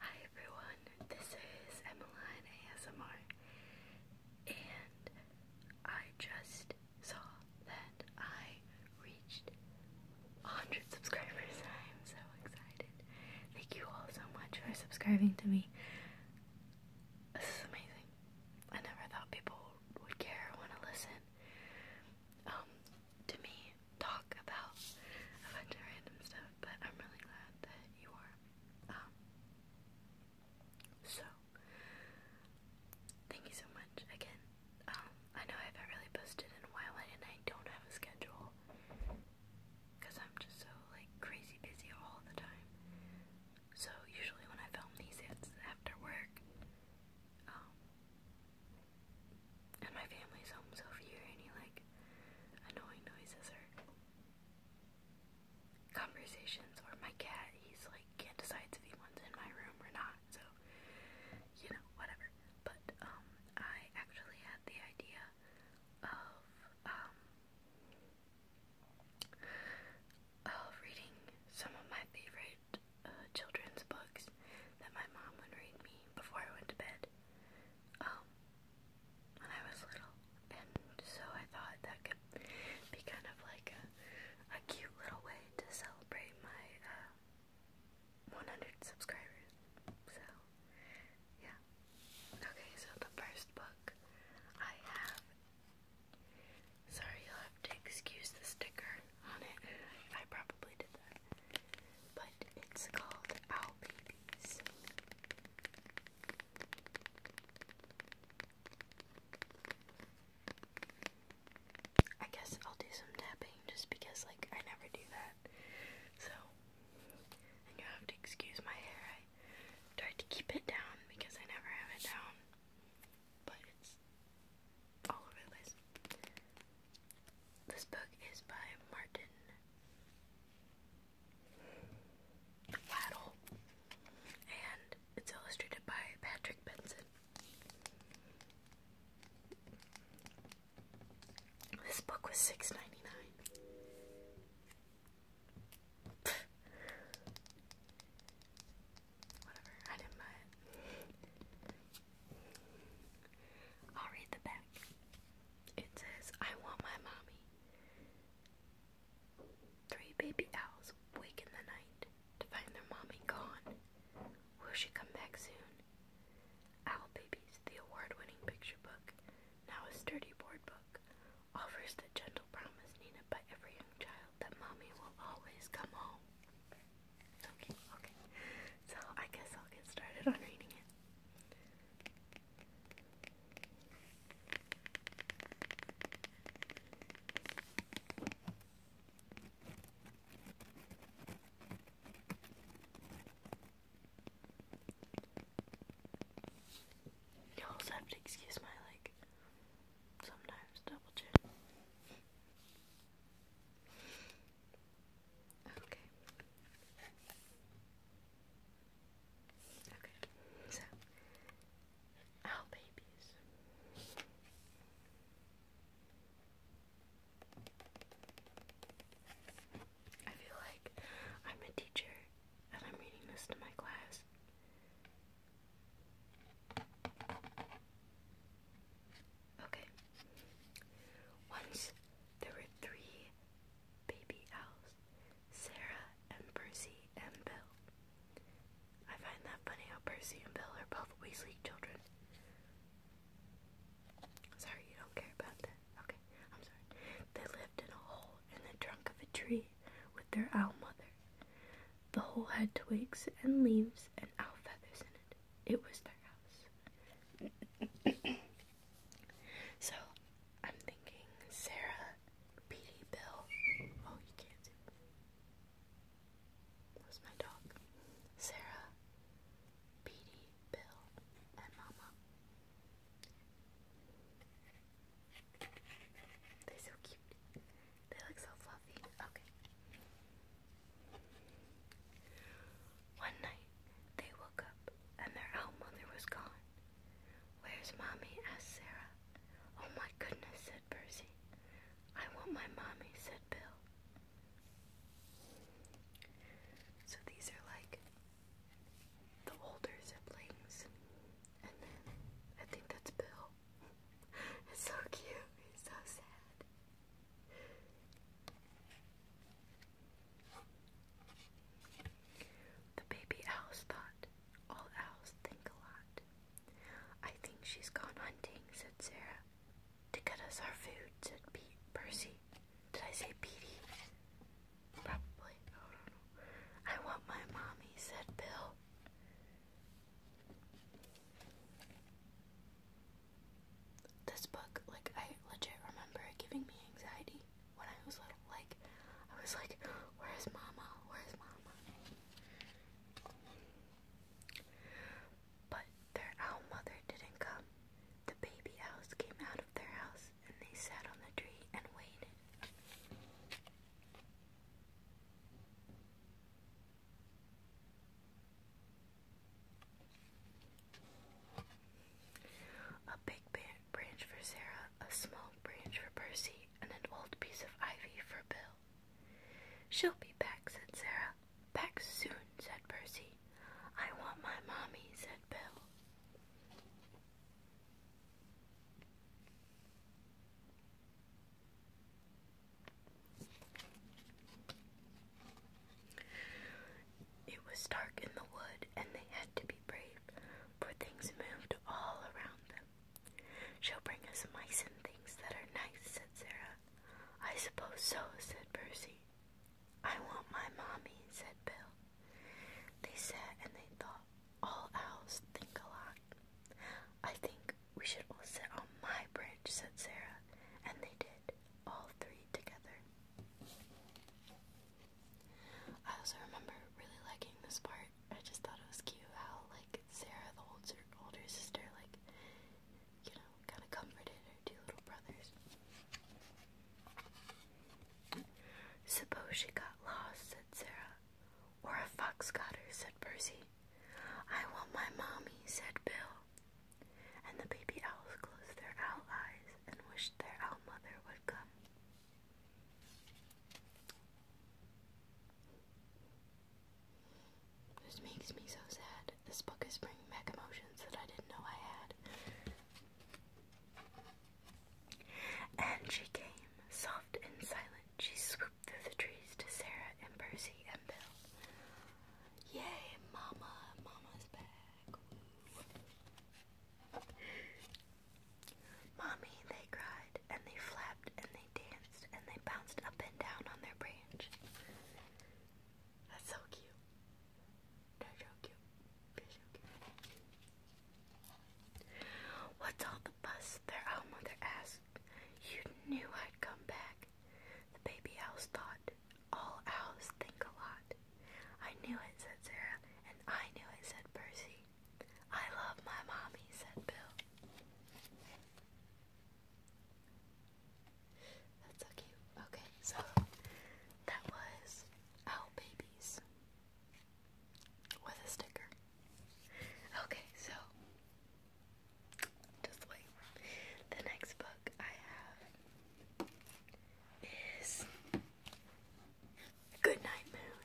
Hi everyone, this is Emmeline ASMR, and I just saw that I reached 100 subscribers. I'm so excited. Thank you all so much for subscribing to me. This is amazing. I never thought people would care or want to listen. Um, to me, talk about a bunch of random stuff, but I'm really glad that you are. Um, so, thank you so much again. Um, I know I haven't really posted in a while, and I don't have a schedule because I'm just so like crazy busy all the time. So usually when I film these, it's after work, um, and my family's home, so if you hear any like annoying noises or conversations, or my cat, he's like can't decide if he wants in my room or not, so you know, whatever. But um, I actually had the idea of um of reading some of my favorite uh, children's books that my mom would read me before I went to bed um, when I was little. And so I thought that could be kind of like a, cute little way to celebrate my uh, 100 subscribers. So, yeah. Okay, so the first book I have Sorry, you'll have to excuse the sticker on it. I probably did that. But it's called Owl Babies. I guess I'll do some tapping just because, like, I never do that. So, and you have to excuse my hair. I tried to keep it down because I never have it down. But it's all over the This book is by Martin Waddle, and it's illustrated by Patrick Benson. This book was six ninety nine. Whatever, I didn't buy I'll read the back. It says, I want my mommy. Three baby owls wake in the night to find their mommy gone. Will she come back soon? Owl Babies, the award winning picture book, now a sturdy board book, offers the gentle promise needed by every young child that mommy will always come home. Okay, okay. So I guess I'll get started on reading it. You'll also excuse my like sometimes double chin. Okay. Okay, so our babies. I feel like I'm a teacher and I'm reading this to my class, Okay. Once there were three baby owls Sarah and Percy and Bill. I find that funny how Percy and Bill are both Weasley children. Sorry, you don't care about that. Okay, I'm sorry. They lived in a hole in the trunk of a tree with their owl mother. The whole had twigs and leaves and owl feathers in it. It was their house. so I'm thinking Sarah, Petey, Bill. Oh, you can't see. Where's my dog? Sarah, Petey, Bill, and Mama. They're so cute. They look so fluffy. Okay. One night, they woke up and their owl mother was gone. Where's mommy? asked Sarah. Oh my goodness, said Percy. I want my mommy, said Bill. So these are like the older siblings. And then I think that's Bill. It's so cute. It's so sad. The baby owls thought. All owls think a lot. I think she's gone hunting, said Sarah. To get us our food, said Pete. Percy. Did I say Petey? Probably. I want my mommy, said Bill. This book, like, I legit remember giving me anxiety when I was little. Like, I was like, where's mama? Where's mama? But their owl mother didn't come. The baby owls came out of their house and they sat on the tree and waited. A big branch for Sarah, a small branch for Percy, and an old piece of ivy for Bill. She'll be back, said Sarah. Back soon, said Percy. I want my mommy, said Bill. It was dark in the wood, and they had to be brave, for things moved all around them. She'll bring us mice and things that are nice, said Sarah. I suppose so, said Percy. I want my mommy, said Bill. They sat and they thought. All owls think a lot. I think we should all sit on my branch, said Sarah, and they did, all three together. I also remember really liking this part. I just thought it was cute how, like, Sarah, the older, older sister, like, you know, kind of comforted her two little brothers. Suppose she got lost, said Sarah. Or a fox cotter, said Percy. I want my mommy, said Bill. And the baby owls closed their owl eyes and wished their owl mother would come. This makes me so sad. This book is bringing back emotions that I didn't know I had. And she came, soft and silent. She swooped through the trees to Sarah and Percy and Bill. Yay, Mama! Mama's back! Mommy, they cried, and they flapped, and they danced, and they bounced up and down on their branch. That's so cute. so cute. so cute. What's all the fuss? Their own oh, mother asked. You knew I'd come back. The baby owls thought. All owls think a lot. I knew it, said Sarah, and I knew it, said Percy. I love my mommy, said Bill. That's so cute. Okay, so that was Owl Babies with a sticker. Okay, so just wait. The next book I have is Good Moon.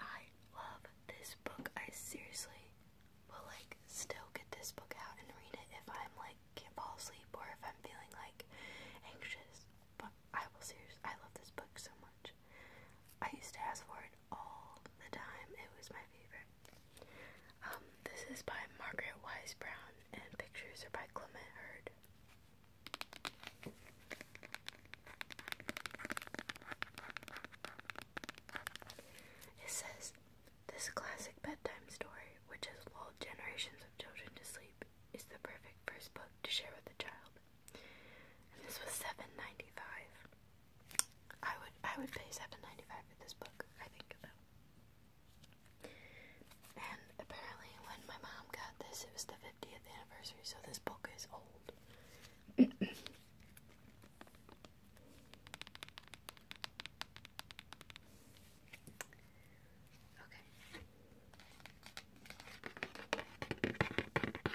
I love this book. I seriously will like still get this book out and read it if I'm like can't fall asleep or if I'm feeling like anxious. But I will seriously I love this book so much. I used to ask for it all the time. It was my favorite. Um, this is by Margaret Wise Brown, and pictures are by Clement Hurd. It says, This classic bedtime story, which has lulled generations of children to sleep, is the perfect first book to share with a child this was seven ninety five. I would I would pay seven ninety five for this book, I think And apparently when my mom got this it was the 50th anniversary, so this book is old. Okay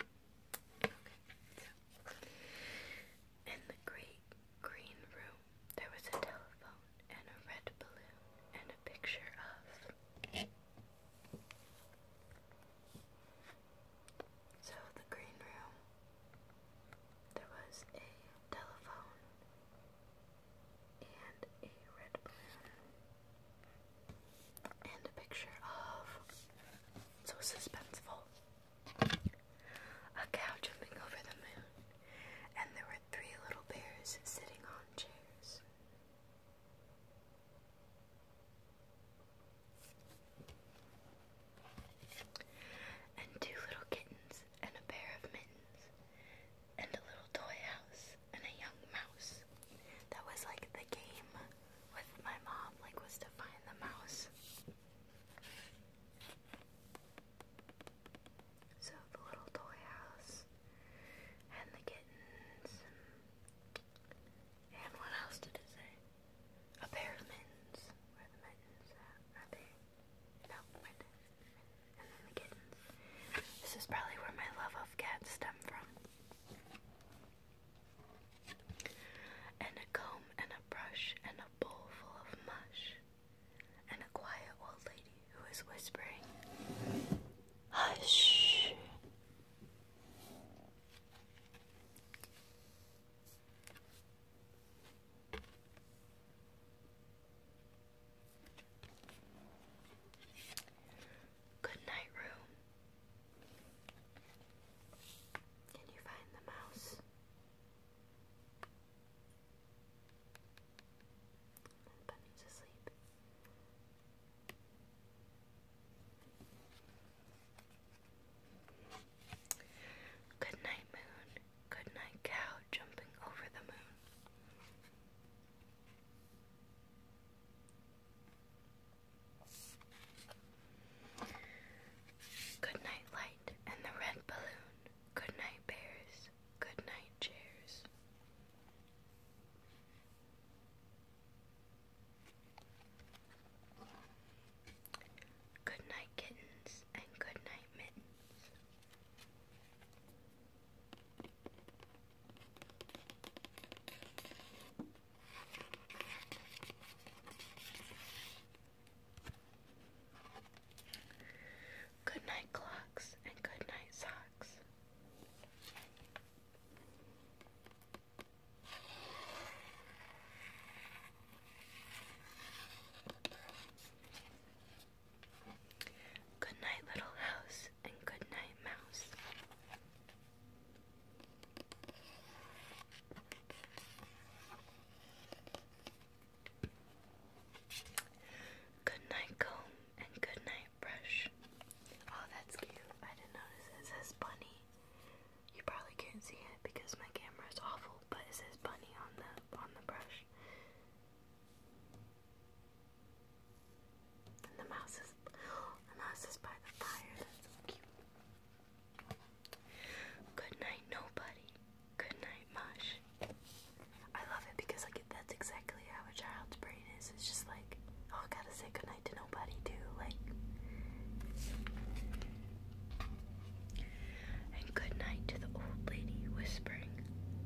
in the great green room, there was a telephone and a red balloon and a picture of. So, the green room, there was a telephone and a red balloon and a picture of so suspenseful a cow jumping over the moon, and there were three little bears sitting on chairs. And two little kittens, and a pair of mittens, and a little toy house, and a young mouse. That was like the game with my mom, like, was to find the mouse. So the little toy house and the kittens and, what else did it say? A pair of mittens. Where the mittens at? Are they? No, mittens. And then the kittens. This is probably where my love of cats stem from. And a comb and a brush and a bowl full of mush. And a quiet old lady who is whispering, Hush! Good night room. Can you find the mouse? bunny's asleep. Good night, moon. Good night, cow jumping over the moon. Good night, light, and the red balloon. Good night, bears. Good night, chairs. Good night, kittens, and good night, mittens. Good night clocks and good night socks. Good night, little house, and good night, mouse. Good night comb and good night brush. Oh, that's cute. I didn't notice it says bunny. You probably can't see it because my camera is awful, but it says bunny on the on the brush. And the mouse is and that by the fire. That's so cute. Good night, nobody. Good night, mush. I love it because like that's exactly how a child's brain is. It's just like, oh, gotta say goodnight to nobody too. Like, and good night to the old lady whispering,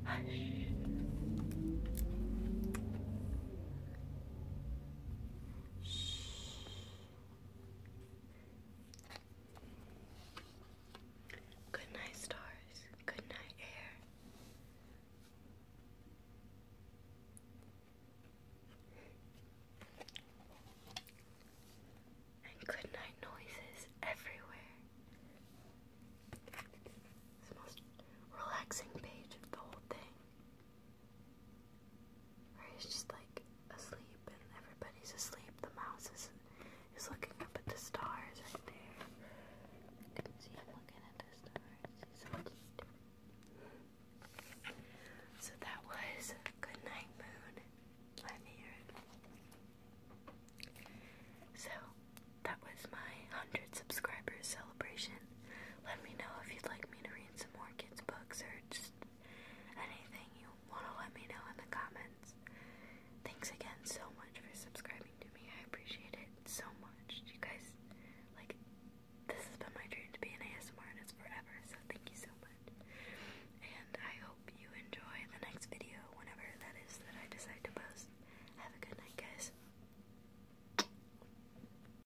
hush. Shh. Good night, stars. Good night, air. And good night noises everywhere. It's the most relaxing page of the whole thing he's just like asleep and everybody's asleep. The mouse is, is looking up at the stars right there. You can see him looking at the stars. so that was Good Night Moon by Mirren. So that was my 100 subscribers celebration. Let me know if you'd like me to read some more kids' books or just anything you want to let me know in the comments. Thanks again so much for subscribing to me. I appreciate it so much. You guys, like, this has been my dream to be an ASMR and it's forever, so thank you so much. And I hope you enjoy the next video, whenever that is that I decide to post. Have a good night, guys.